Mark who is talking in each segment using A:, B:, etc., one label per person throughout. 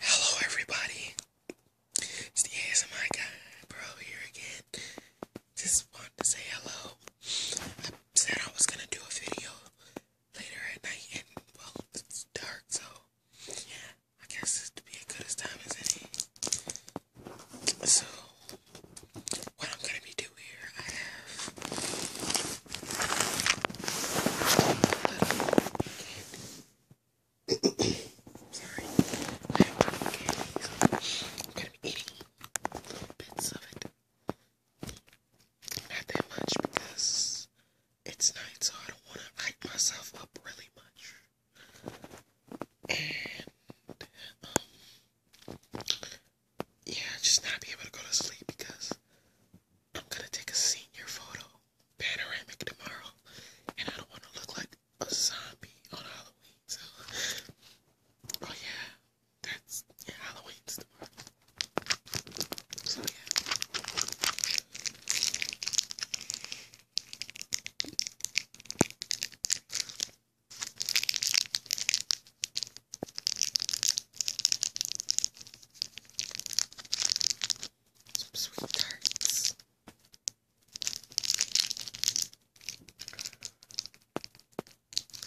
A: Hello, everybody. It's the ASMI guy, bro, here again. Just wanted to say hello. I said I was gonna do a video later at night, and well, it's dark, so I guess this would as good as time as any. So, what I'm gonna be doing here, I have candy. Sorry. I have a candy, I'm gonna be eating little bits of it. Not that much because it's night, so I don't wanna hype myself up really much. And yeah, just not be able to go to sleep because I'm gonna take a senior photo, panoramic tomorrow, and I don't want to look like a zombie on Halloween. So, oh yeah, that's Halloween's tomorrow. So yeah. Some sweet tarts.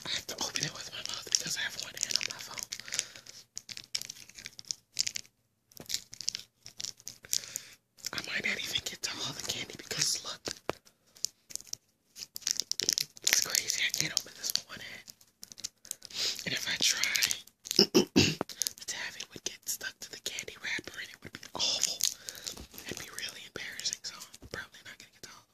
A: I have to open it with my mouth because I have one hand on my phone. I might not even get to all the candy because look. It's crazy. I can't open this with one hand. And if I try to have would get stuck to the candy wrapper and it would be awful. It'd be really embarrassing, so I'm probably not gonna get to all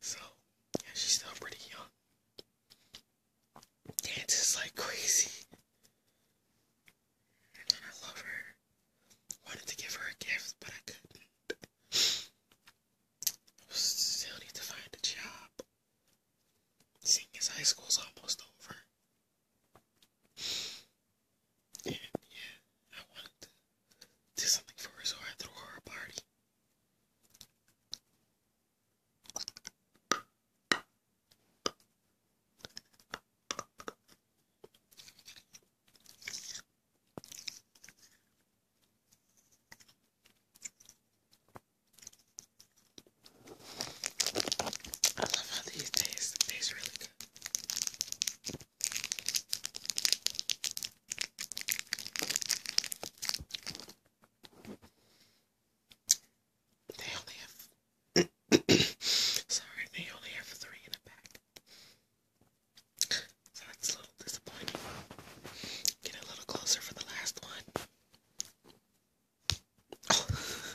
A: so yeah, she's still pretty young. Dances like crazy. And I love her. Wanted to give her a gift, but I couldn't. still need to find a job. Seeing as high school's almost over. And yeah, I wanted to do something for her, so I threw her a party. I love how these taste. taste really good. They only have sorry, they only have three in a pack. So that's a little disappointing. Get a little closer for the last one. Oh.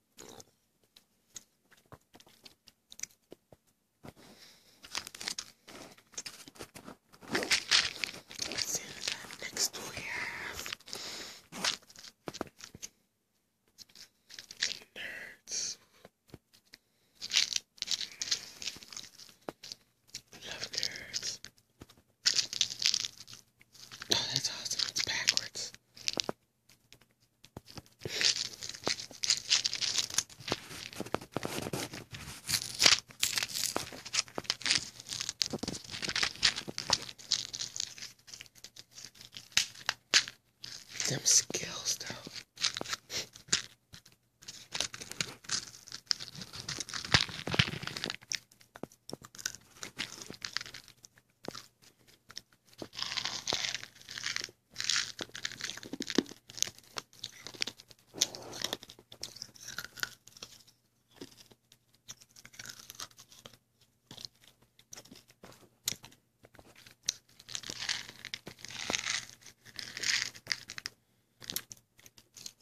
A: See that next we have nerds. love nerds. Oh, that's awesome. It's backwards. Them skills, though.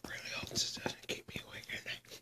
A: Really hope this doesn't keep me awake at night.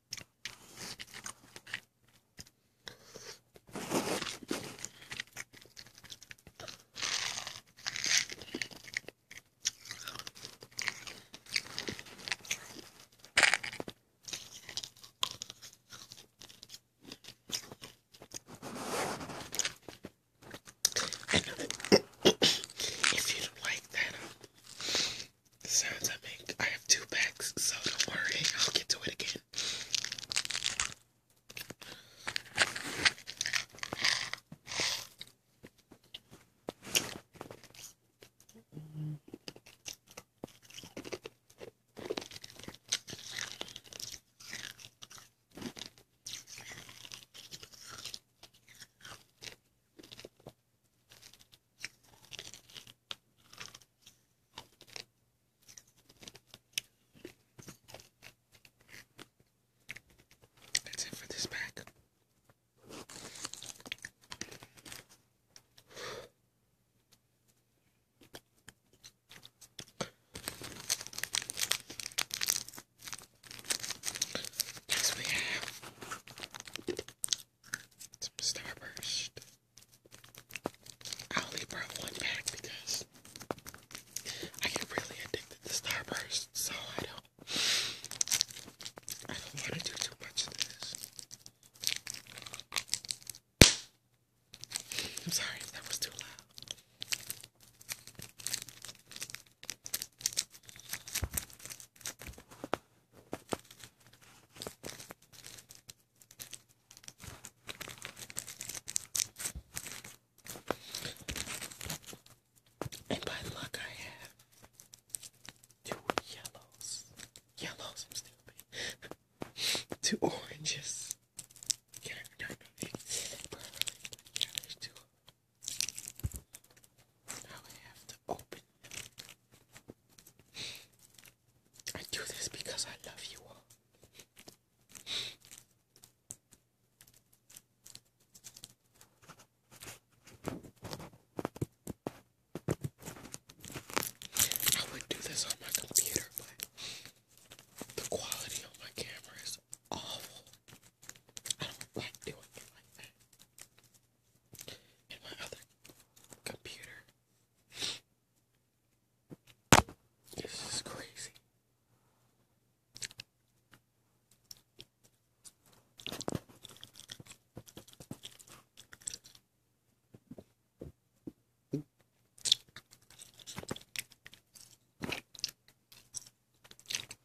A: if you like that, the sounds I make. I have two packs, so don't worry, I'll get to it again. That's it for this pack. Next we have some Starburst. I only brought one back because I get really addicted to Starburst, so I don't I don't want to do too much of this. I'm sorry that was too loud. And by luck, I have two yellows. Yellows, I'm stupid. two oranges. Can I remember properly? Yeah, there's two. Now I have to open I do this because I love you all. I would do this on my computer, but the quality on my camera is awful. I don't like doing it in my other computer. This is crazy.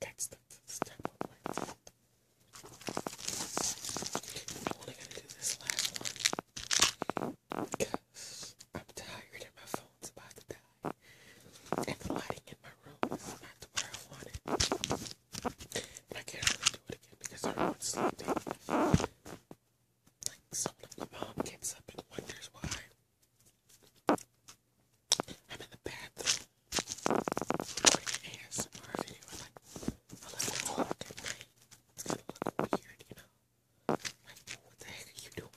A: That's step of I'm only gonna do this last one because I'm tired and my phone's about to die. And the lighting in my room is not the way I want it. I can't really do it again because everyone's sleeping. Like, someone my mom gets up and wonders why I'm in the bathroom recording an ASMR video like 11 o'clock at night. It's gonna look weird, you know? Like, what the heck are you doing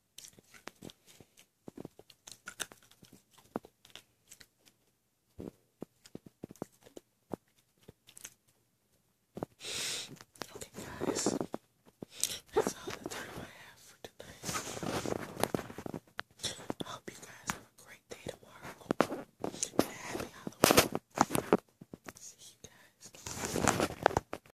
A: Okay, guys, that's all the time I have for tonight. I hope you guys have a great day tomorrow. happy Halloween. See you guys.